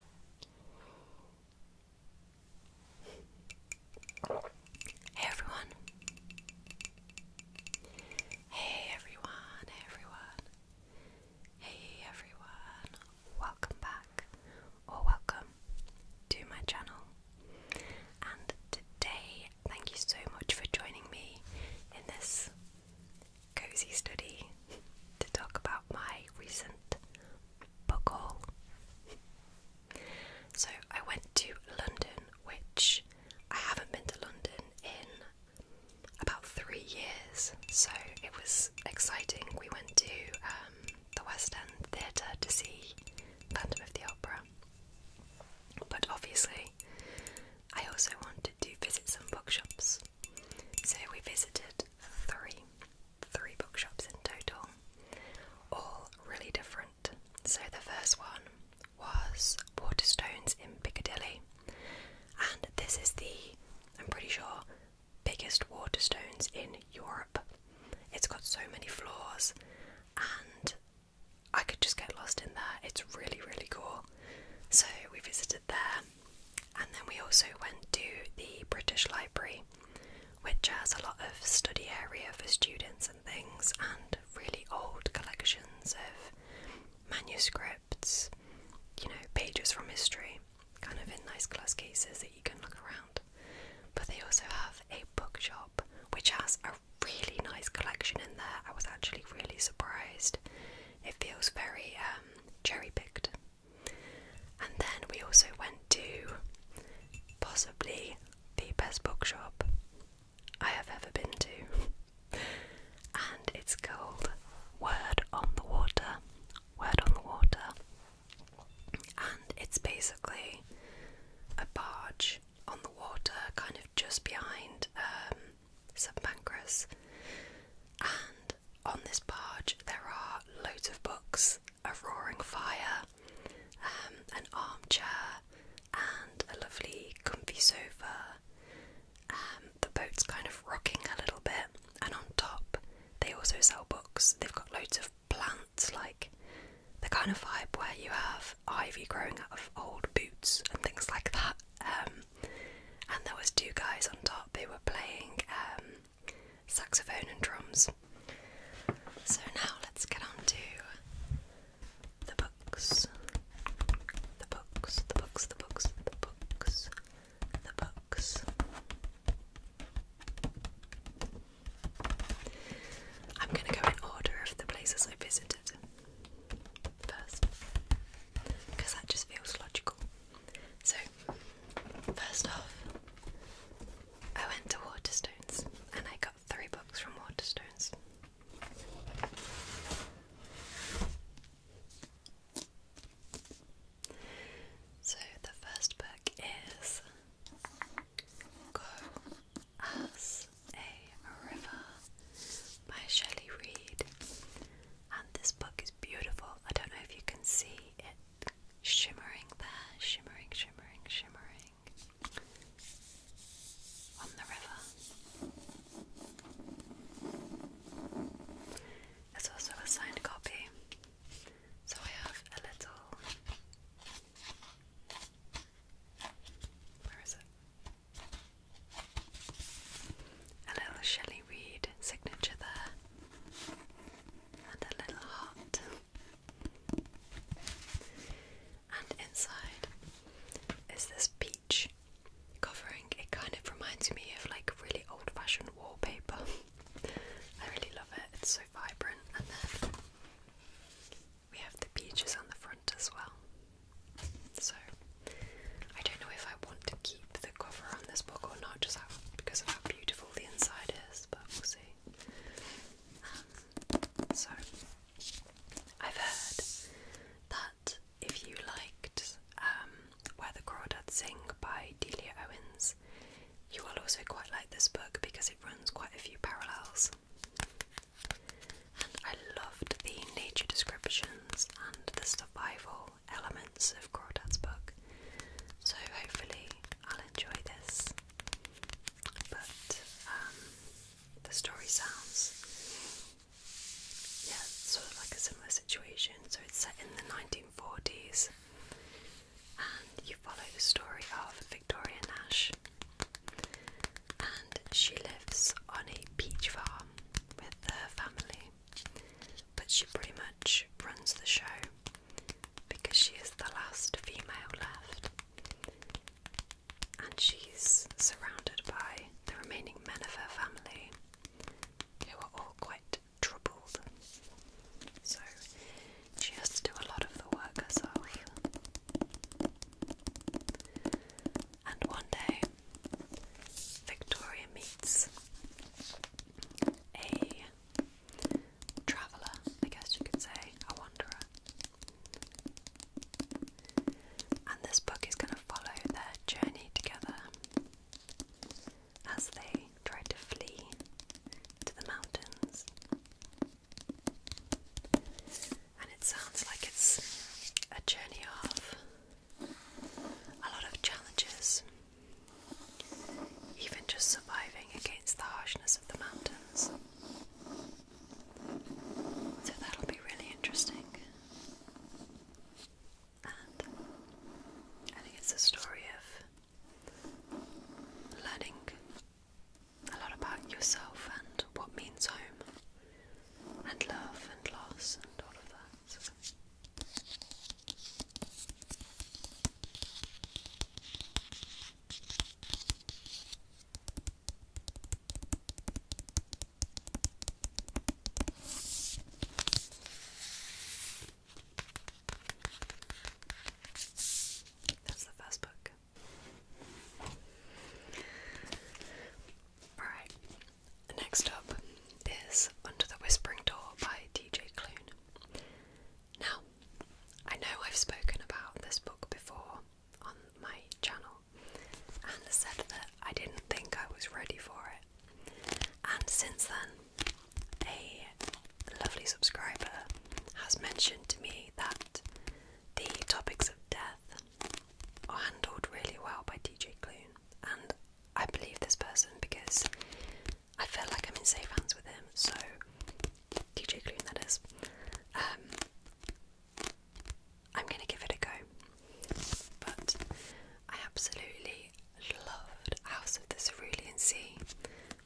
Hey everyone. Hey everyone, everyone. Hey everyone. Welcome back or welcome to my channel. And today, thank you so much for joining me in this cozy study to talk about my recent book all. So I went to London, which I haven't been to London in about three years, so it was exciting. We went to um, the West End Theatre to see Phantom the Opera. But obviously, I also wanted to visit some bookshops, so we visited three, three bookshops in total, all really different. So the first one was Waterstones in Piccadilly, and this is the, I'm pretty sure, biggest Waterstones in Europe. It's got so many floors, and I could just get lost in there. It's really, really cool. So we visited there, and then we also went to the British Library, which has a lot of study area for students and things, and really old collections of manuscripts, you know, pages from history, kind of in nice glass cases that you can look around. But they also have a bookshop which has a really nice collection in there. I was actually really surprised. It feels very um, cherry picked, and then we also went to possibly the best bookshop I have ever been to. And it's called Word on the Water. Word on the Water. And it's basically a barge on the water, kind of just behind um, St Pancras. And on this barge there are loads of books, a roaring fire, um, an armchair, and a lovely comfy sofa. Um, the boat's kind of rocking a little bit, and on top they also sell books. They've got loads of plants, like the kind of vibe where you have ivy growing out of old boots and things like that. Um, and there was two guys on top. They were playing saxophone and drums. So now let's get on to the books. The books, the books, the books, the books, the books. I'm going to go in order of the places I visited first because that just feels logical. So, first off, I went to Waterstones and I got three books from Waterstones. So, the first book is Go As a River by Shelley Reed. And this book is beautiful. I don't know if you can see it shimmering there, shimmering, shimmering, shimmering on the river. There's also a signed copy, so I have a little. Where is it? A little Shelley Reed signature there and a little hot, And inside is this peach covering. It kind of reminds me of like really old fashioned wallpaper. I really love it, it's so vibrant. And then we have the peaches on the front as well. So I don't know if I want to keep the cover on this book or not, just because of how beautiful the inside is, but we'll see. Um, so, I've heard that if you liked um, Where the Crawdads Sing by Delia Owens, you will also quite like this book because it runs quite a few parallels. And I loved the nature descriptions and the survival elements of Crawdad's book. So hopefully I'll enjoy this. But um, the story sounds, yeah, sort of like a similar situation. So it's set in the 1940s, and you follow the story of Victoria Nash, and she lives on a peach farm with her family but she pretty much runs the show because she is the last female left, and she's surrounded by the remaining men of her family who are all quite troubled. So she has to do a lot of the work herself. And one day, Victoria meets a traveller, I guess you could say, a wanderer. And this book is going to follow their journey together as they try to flee to the mountains. And it sounds like it's a journey of a lot of challenges even just surviving against the harshness of the mountains. So that'll be really interesting. And I think it's a story of learning a lot about yourself and what means home, and love and loss, and all of that. That's the first book. Alright, next up is Under the Whispering Door by D.J. Clune. Now, I know I've spoken about this book before on my channel and said that I didn't think I was ready for it. And since then, a lovely subscriber has mentioned to me that the topics of death are handled really well by DJ Clune, and I believe this person because I feel like I'm in safe hands with him, so DJ Clune that is. Um, I'm gonna give it a go. But I absolutely loved House of the Cerulean Sea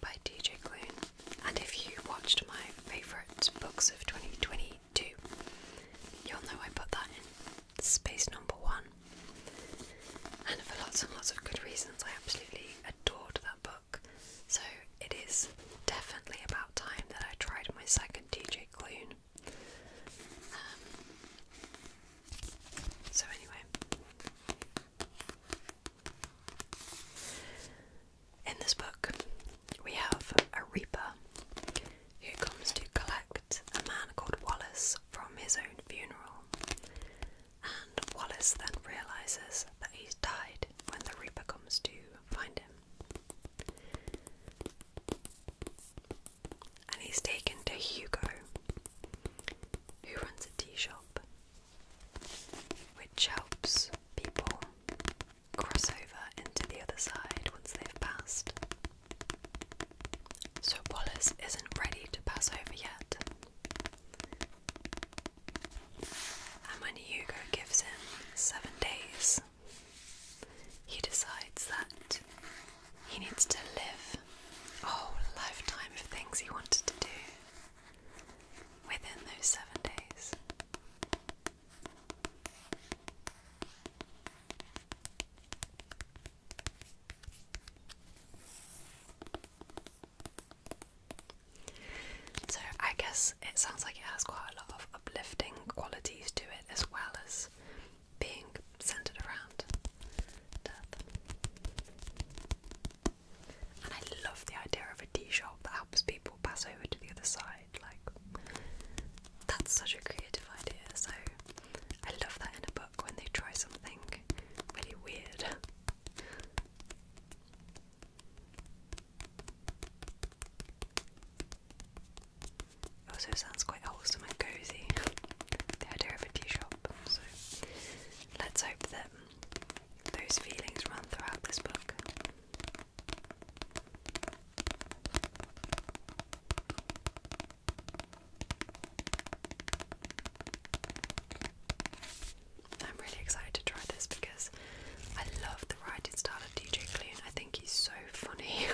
by DJ Clune. And if you watched my favourite books of 2022, you'll know I put that in space number one. And for lots and lots of good reasons, I absolutely adored that book. So it is definitely about time that I tried my second DJ Clune. Um, so, anyway. In this book, we have a reaper who comes to collect a man called Wallace from his own funeral and Wallace then realizes that he's died when the Reaper comes to find him. And he's taken to Hugo, who runs a tea shop, which helps people cross over into the other side once they've passed. So Wallace isn't ready to pass over yet, and when Hugo gives him seven days, he decides that he needs to live a whole lifetime of things he wanted to do within those seven days. So, I guess it sounds like it has quite a lot of uplifting qualities to it as well as being centered around death. And I love the idea of a tea shop that helps people pass over to the other side. Like, that's such a creative idea. So, I love that in a book when they try something really weird. also sounds quite wholesome and cozy, the idea of a tea shop. So let's hope that those feelings run throughout this book. I'm really excited to try this because I love the writing style of DJ Clune. I think he's so funny.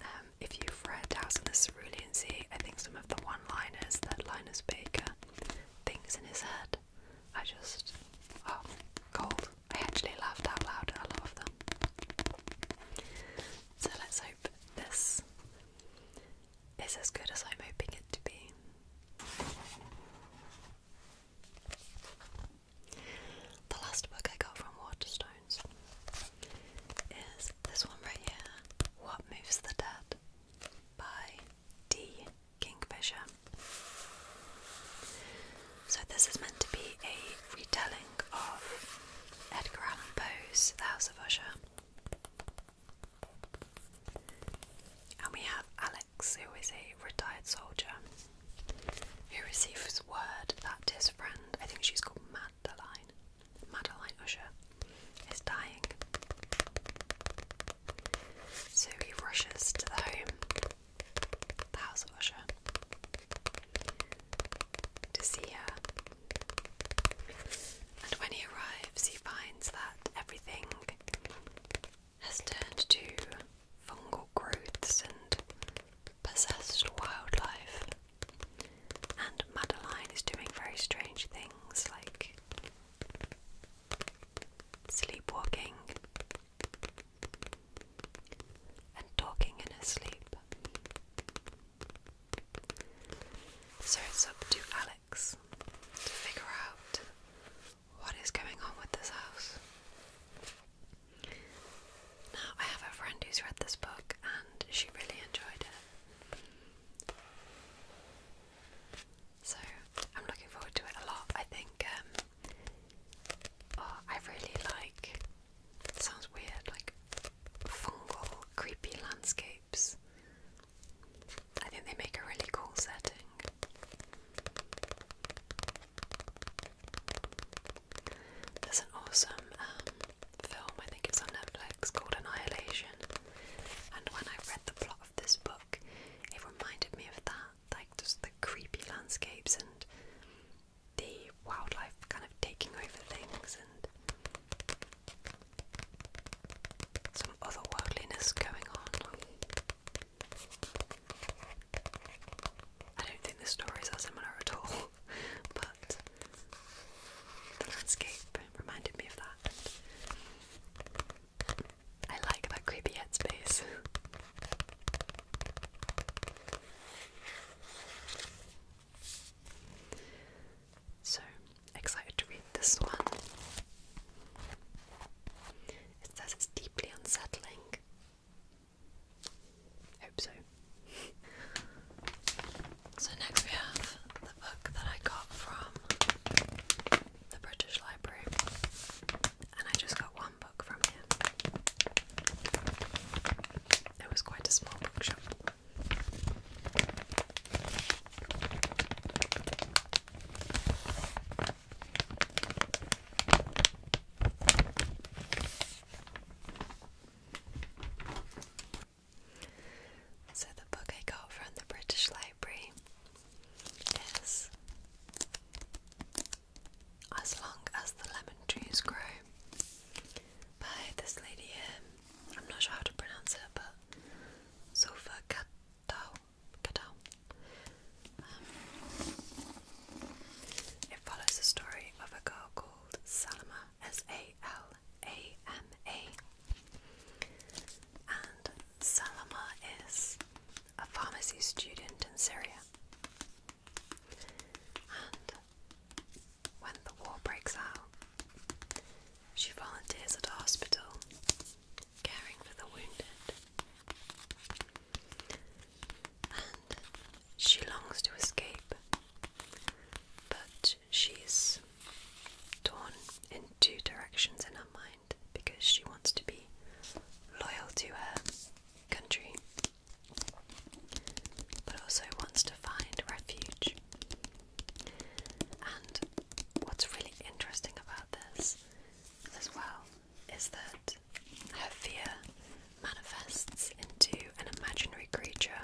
Um, if you've read House on the Cerulean Sea, I think some of the one-liners that Linus Baker uh, thinks in his head I just oh, gold. I actually laughed out loud at a lot of them. So let's hope this is as good as I'm hoping it to be. The last book I got from Waterstones is this one right here, What Moves the Dead by D. Kingfisher. So this is meant to be a retelling of Edgar Allan Poe's The House of Usher. And we have Alex, who is a retired soldier, who receives word that his friend, I think she's called Madeline, Madeline Usher, is dying. So he rushes to the home, the house of Usher, to see her and when he arrives, he finds that everything has turned to fungal growths and possessed wildlife. And Madeline is doing very strange things like sleepwalking and talking in her sleep. So it's up to Alex to figure out what is going on with this house. Now, I have a friend who's read this book and she really enjoyed it. So I'm looking forward to it a lot. I think um, oh, I really like. sounds weird, like fungal, creepy landscapes. I think they make a really cool setting. There's an awesome um, film, I think it's on Netflix, called Annihilation. And when I read the plot of this book, it reminded me of that like just the creepy landscapes and the wildlife kind of taking over things and some otherworldliness going on. I don't think the stories are similar at all, but the landscape reminded me of that. I like that creepy headspace. So excited to read this one. It says it's deeply unsettling. Hope so. so next we have the book that I got from the British Library, and I just got one book from here. It was quite a small bookshop. So, the book I got from the British Library is As Long as the Lemon Trees Grow by this lady I'm not sure how to pronounce it, but sofa cutout. cutout. Um, it follows the story of a girl called Salama, S A L A M A. And Salama is a pharmacy student in Syria. And when the war breaks out, she volunteers at a hospital, caring for the wounded. And she longs to escape, but she's torn in two directions in her mind because she wants to be loyal to her country but also wants to find refuge and what's really interesting about this as well is that her fear manifests into an imaginary creature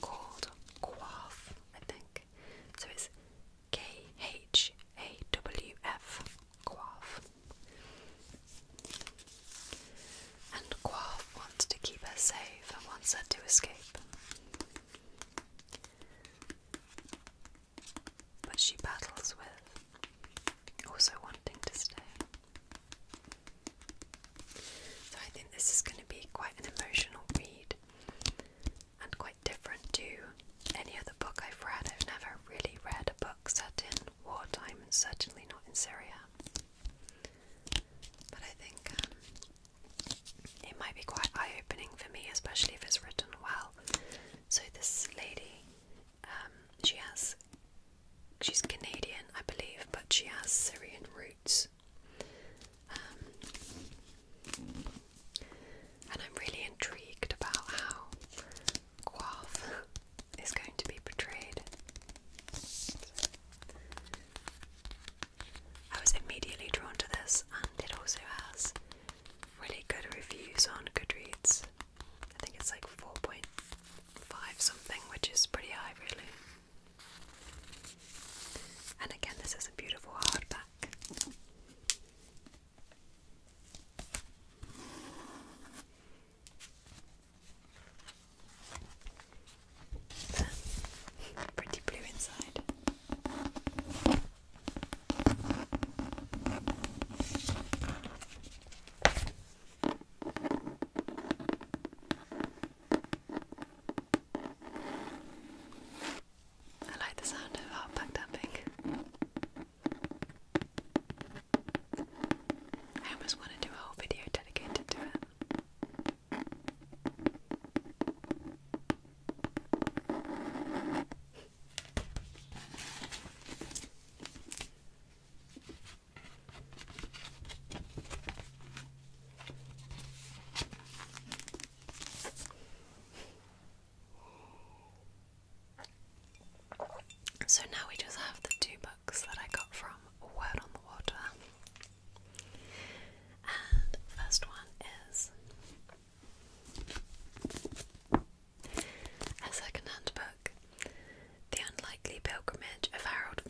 called Quaff, I think. So it's K H A W F, Quaff. And Quaff wants to keep her safe and wants her to escape. But she battles with also wanting to stay. So I think this is going to be quite an emotional read and quite different to any other book I've read. I've never really read a book set in wartime and certainly not in Syria. But I think um, it might be quite eye opening for me, especially if it's written well. So, this lady, um, she has, she's Canadian, I believe, but she has Syrian roots. Um, and I'm really intrigued about how Guav is going to be portrayed. I was immediately drawn to this, and it also has really good reviews on Goodreads. I think it's like 4.5 something, which is pretty high, really. And again, this is a beautiful hardback. Pretty blue inside. I like the sound of outback tapping. I almost want to do a whole video dedicated to it. So now we just have the two books that I got from Word on the Water and first one is a second-hand book, The Unlikely Pilgrimage of Harold,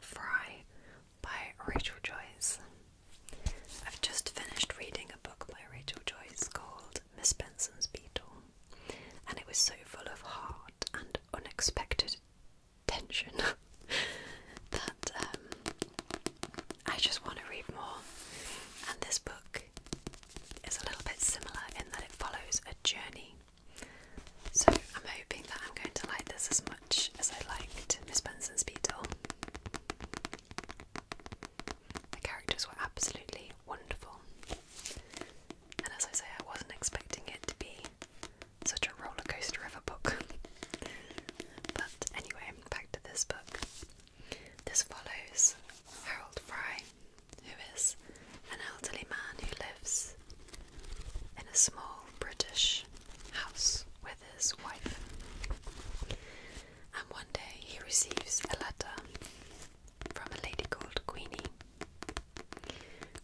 Fry by Rachel Joyce. I've just finished reading a book by Rachel Joyce called Miss Benson's Beetle, and it was so full of heart and unexpected tension that um, I just want to read more. And this book is a little bit similar in that it follows a journey. So I'm hoping that I'm going to like this as much as I liked Miss Benson's Beetle. The characters were absolutely wonderful. And as I say, I wasn't expecting it to be such a rollercoaster of a book. but anyway, back to this book. This follows Harold Fry, who is an elderly man who lives in a small British house with his wife. And one day he receives a letter from a lady called Queenie.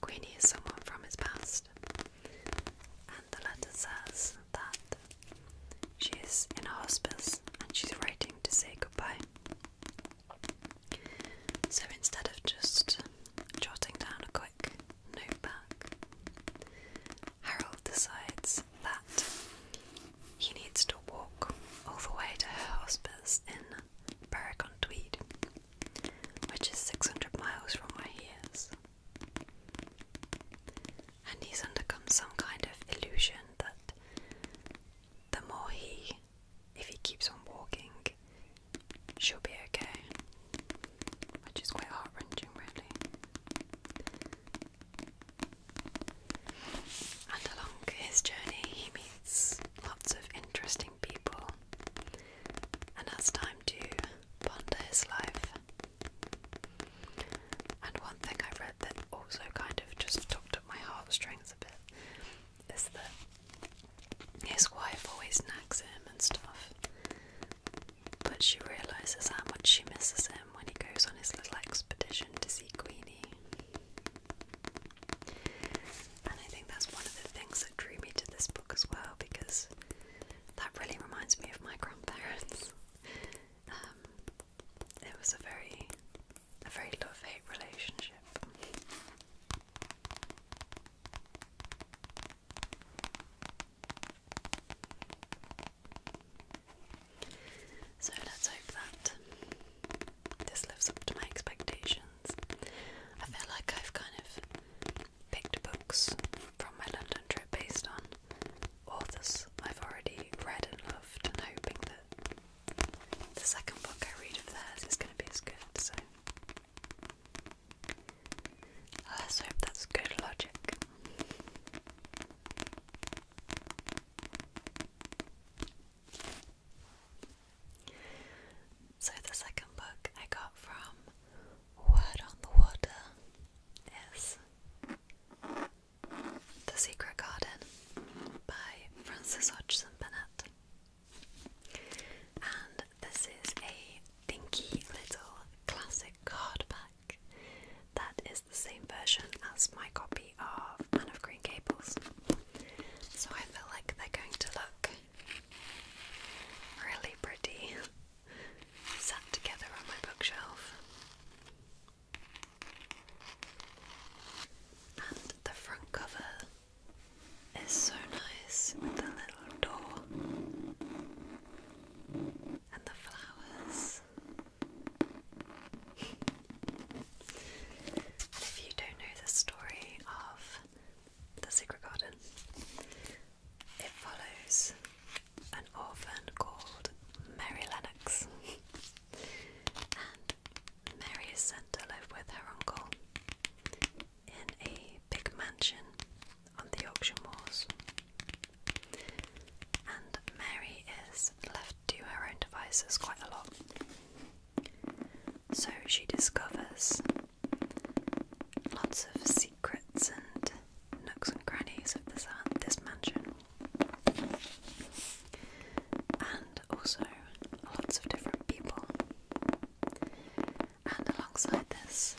Queenie is someone from his past, and the letter says that she is in a hospice and she's writing to say goodbye. So instead of just jotting down a quick note back, Harold decides that he needs to walk all the way to her hospice in Berwick on Tweed, which is 600 miles from where he is. And he's undergone some kind of illusion that the more he, if he keeps on walking, she'll be okay. Which is quite heart wrenching, really. And along his journey, he meets lots of interesting people and has time to ponder his life and one thing I read that also kind of just tugged up my heartstrings a bit is that his wife always nags him and stuff, but she realises how much she misses him when he goes on his little expedition to see Queenie. And I think that's one of the things that drew me to this book as well because that really reminds me of my grandparents. Um, it was a very, a very love-hate relationship. So let's hope that this lives up to my expectations. I feel like I've kind of picked books from my London trip based on authors I've already read and loved, and hoping that the second book I read of theirs is going to be as good. So let's hope that's good logic. So the second book I got from Word on the Water is The Secret Garden by Frances Hodgson Bennett. And this is a dinky little classic card that is the same version as my copy of Anne of Green Gables. So I feel like they're going to look really pretty sat together on my bookshelf. And the front cover is so nice with the little door and the flowers. and if you don't know the story of The Secret Garden, it follows an orphan called Mary Lennox, and Mary is sent to live with her uncle in a big mansion on the Yorkshire Moors. And Mary is left to her own devices quite a lot. So she discovers lots of secrets and nooks and crannies of this, uh, this mansion. And also lots of different people. And alongside this,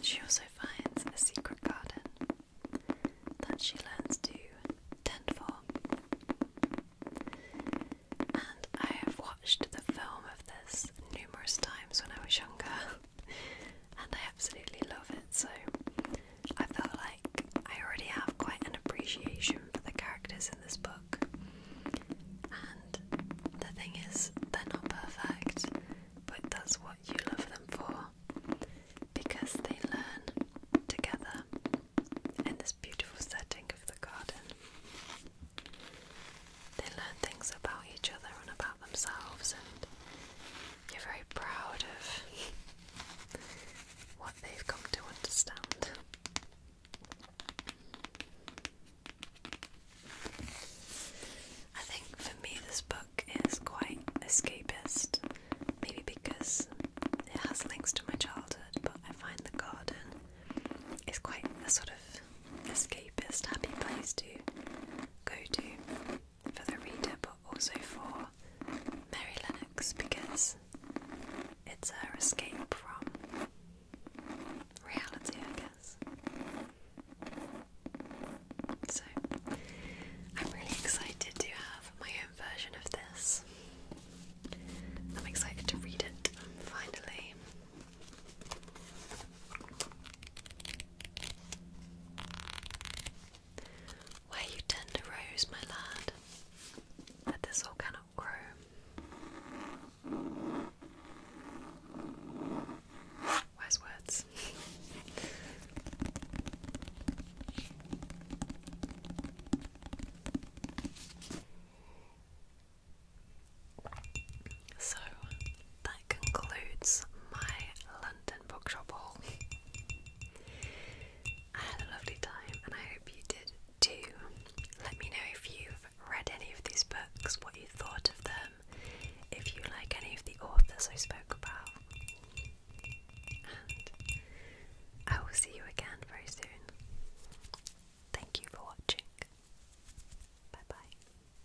she also finds a secret garden that she learns to tend for. And I have watched the film of this numerous times when I was younger. and I absolutely love it. So I felt like I already have quite an appreciation for the characters in this book. And the thing is, they're not perfect, but that's what you love them for because they learn together in this beautiful setting of the garden. They learn things about each other and about themselves and you're very proud of what they've come to understand. I think for me, this book is quite escapist, maybe because it has links to my childhood, but I find the garden is quite a sort of escapist, happy place to go to for the reader, but also for Mary Lennox because it's her escape from reality, I guess. So, I'm really excited to have my own version of this. I'm excited to read it finally. Where you tend rose, my lad, that this all cannot grow. Wise words. so, concludes my London bookshop haul. I had a lovely time and I hope you did too. Let me know if you've read any of these books, what you thought of them, if you like any of the authors I spoke about. And I will see you again very soon. Thank you for watching. Bye bye.